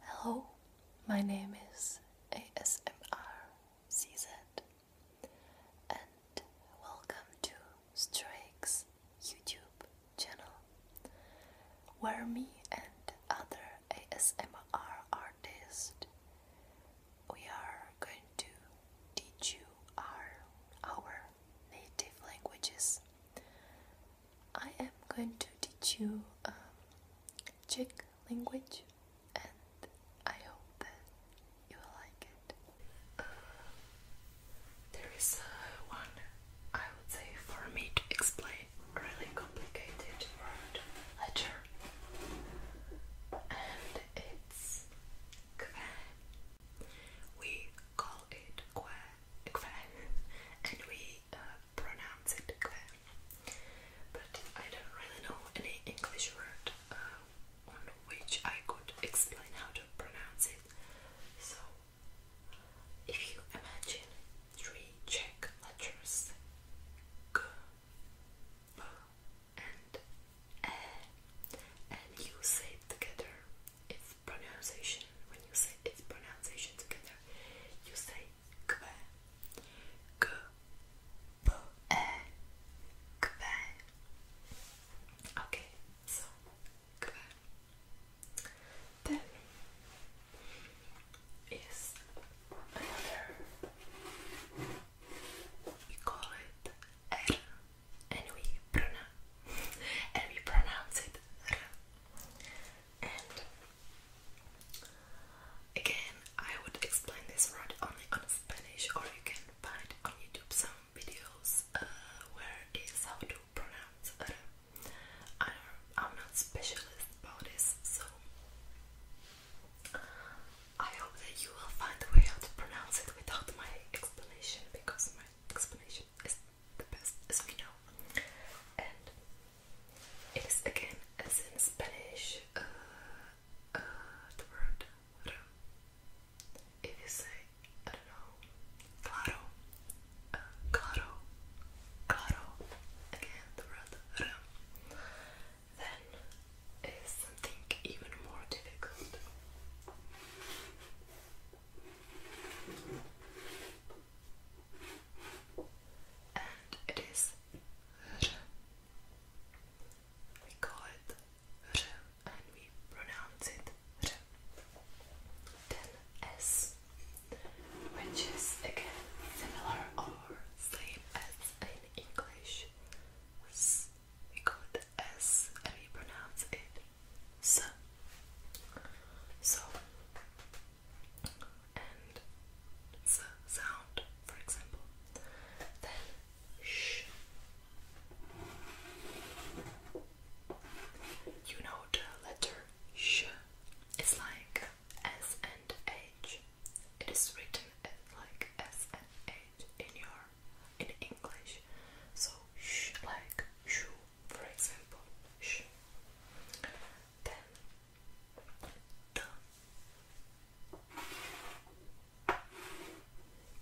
Hello, my name is ASMR CZ and welcome to Strake's YouTube channel where me and other ASMR artists we are going to teach you our native languages I am going to teach you uh, Czech language and I hope that you will like it. Uh, there is uh, one, I would say, for me to explain really complicated word letter and it's kve. We call it kve, and we pronounce it okay. But I don't really know any English word uh, on which I could explain how to pronounce it. So, if you imagine three Czech letters G, B, and E, and you say it together, its pronunciation, when you say its pronunciation together, you say kwe k p e kwe okay so kwe then is another we call it r and we pronounce it r again, I would explain this word only on Spanish, or you can find on YouTube some videos uh, how to pronounce it. I'm not specialist about this, so I hope that you will find a way how to pronounce it without my explanation, because my explanation is the best as we know. And it is again, as in Spanish, uh, uh, the word If you say, I don't know, claro, uh, claro, again, the word then is something even more difficult and it is we call it R and we pronounce it R. Then S, which is again similar or same as in English. S, we call it S and we pronounce it S. So and the sound, for example. Then shh. You know the letter sh. It's like S and H. It is written like S and H in your in English. So sh like shoe, for example. Sh. Then,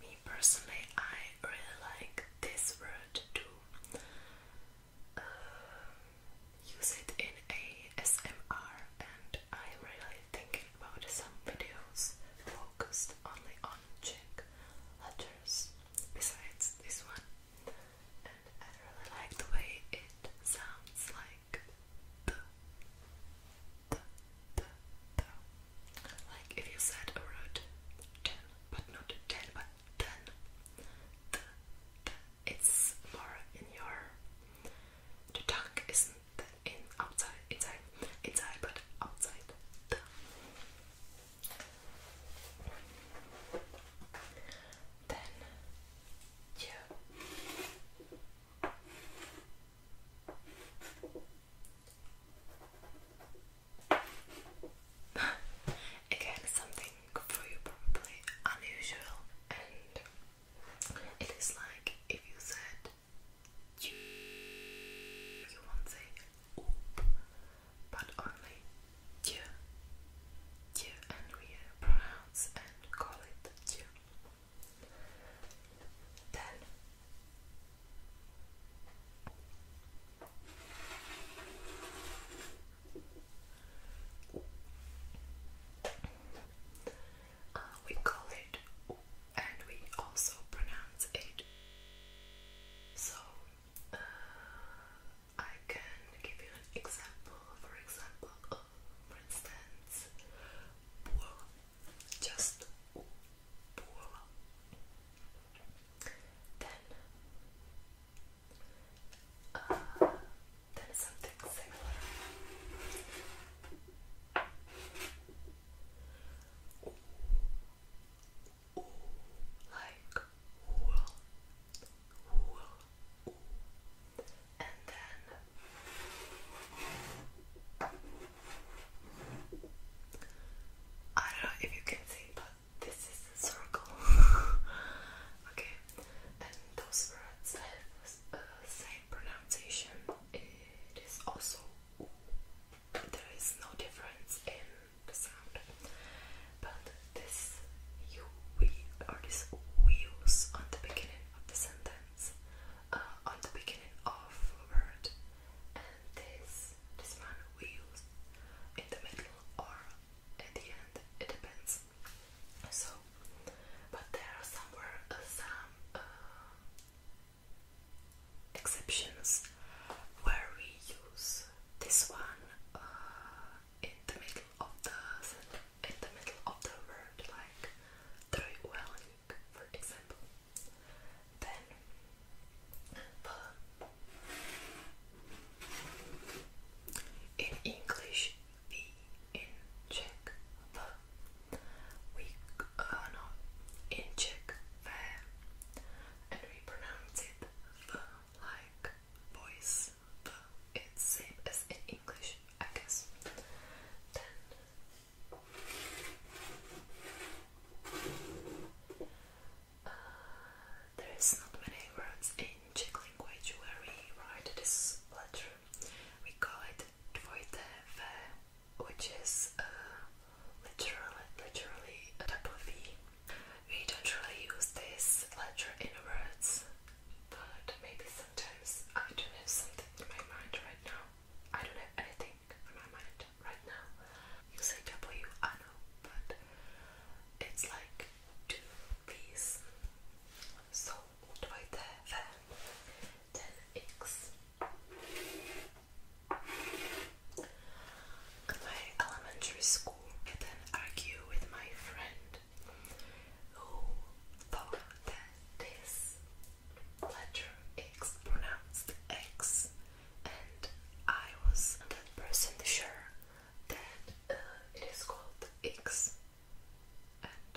me personally, I really like this word too. Uh, use it in ASMR, and I'm really thinking about some videos focused only on Czech letters. Besides this one, and I really like the way it sounds like the, the, the, the. Like if you said a word ten, but not ten, but ten. The, the. It's more in your. The tongue isn't in outside, inside, inside, but outside. The. Then you again something for you probably unusual and it is like if you said you you won't but only Dieu. and we pronounce and call it Dieu. Then uh, we call it and we also pronounce it so uh, I can give you an example. For example, for instance, pour, just pour. Then, uh, then something similar. like wool, and then I don't know if you can see, but this is a circle. okay, and those words have the same pronunciation. It is also. There is no difference in sound. But this you will or this we on the beginning of the sentence, uh, on the beginning of a word, and this this one we use in the middle or at the end. It depends. So, but there are somewhere uh, some. Uh, exceptions where we use this one in the middle of the in the middle of the word like Treuwelling, for example. Then the in English V in Czech the we uh, no in Czech V and we pronounce it the like voice, it's same as in English, I guess. Then uh, there is not many words in Czech language where we write this letter. We call it dvojte which is uh, literally, literally a double V we don't really use this letter in words, but maybe sometimes I don't have something in my mind right now. I don't have anything in my mind right now. You say W, I know, but it's like two V's. So all the X my elementary school and then argue with my friend who thought that this letter X pronounced X and I was that person sure that uh, it is called X and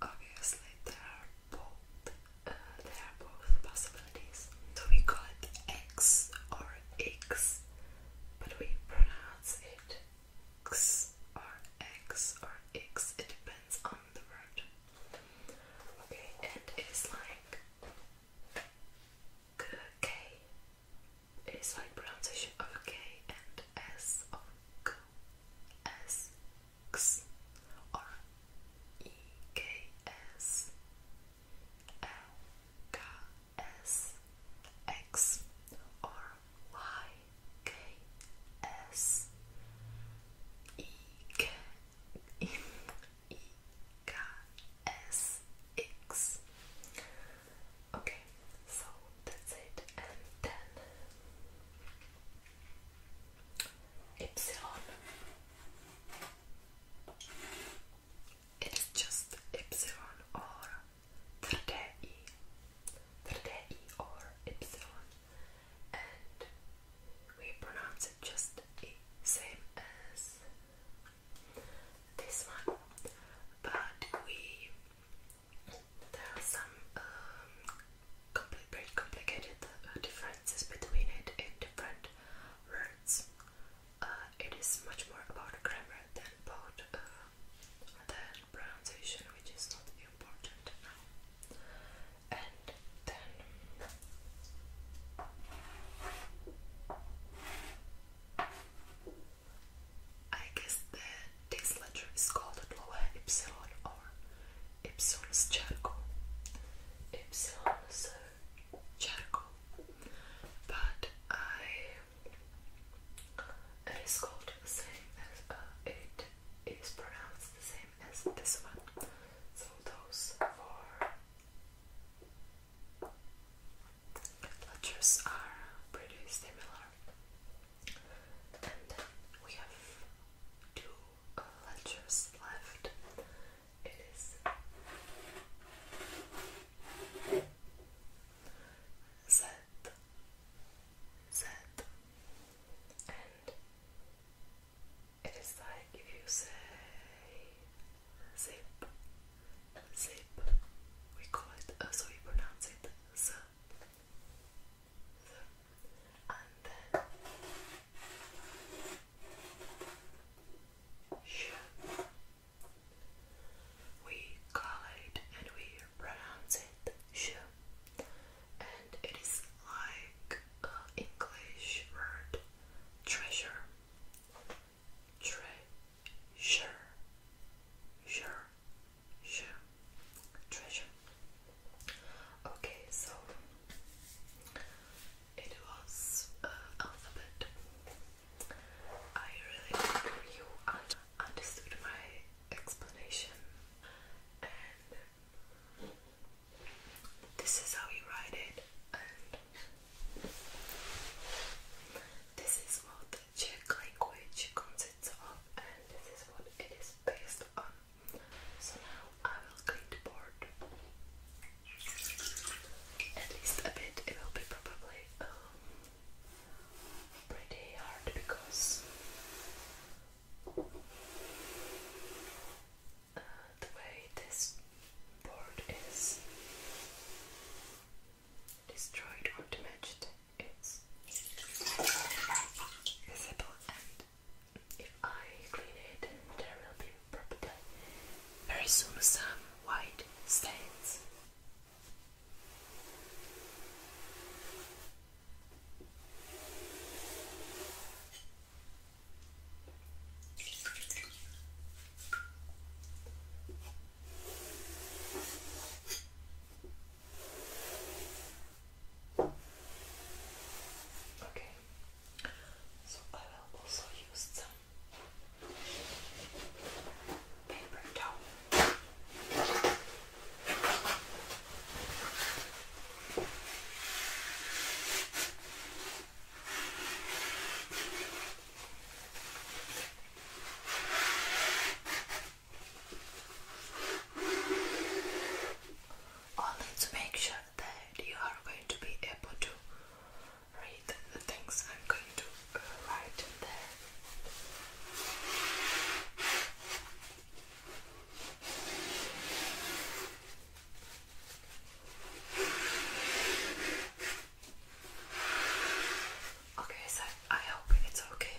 obviously there are both uh, are both possibilities so we call it X or X but we pronounce it x or x or x, it depends on the word. Okay, and it's like k, it's like pronunciation of k and s or e k s K S X Okay, so that's it, and then Epsilon it is just epsilon or third e, third e or epsilon, and we pronounce it just e, same as this one, but we there are some um, compl complicated uh, differences between it in different words. Uh, it is much more about grammar than about uh, than pronunciation, which is not important now. And then I guess the, this letter is called Dlouhé Ypsilon or Ypsilon's Charco. Ypsilon's Charco. But I it is called the same as uh, it is pronounced the same as this one. So those four letters are pretty similar. And we have two uh, letters left. It is Z, Z, and it is like if you say zip, zip, we call it, uh, so pronounce it z, z, and then sh, we call it and we pronounce it sh, and it is like an English word treasure, treasure, sure, sure, treasure. Okay, so it was uh, alphabet. I really hope you understood my explanation. And this is how you write it, and this is what the Czech language consists of, and this is what it is based on. So now I will clean the board at least a bit. It will be probably um, pretty hard because uh, the way this board is destroyed or damaged is visible and if I clean it there will be probably very soon some white stains Okay, so I will also use some paper towel. Always make sure that you are going to be able to read the things I'm going to write there. Okay, so I hope it's okay.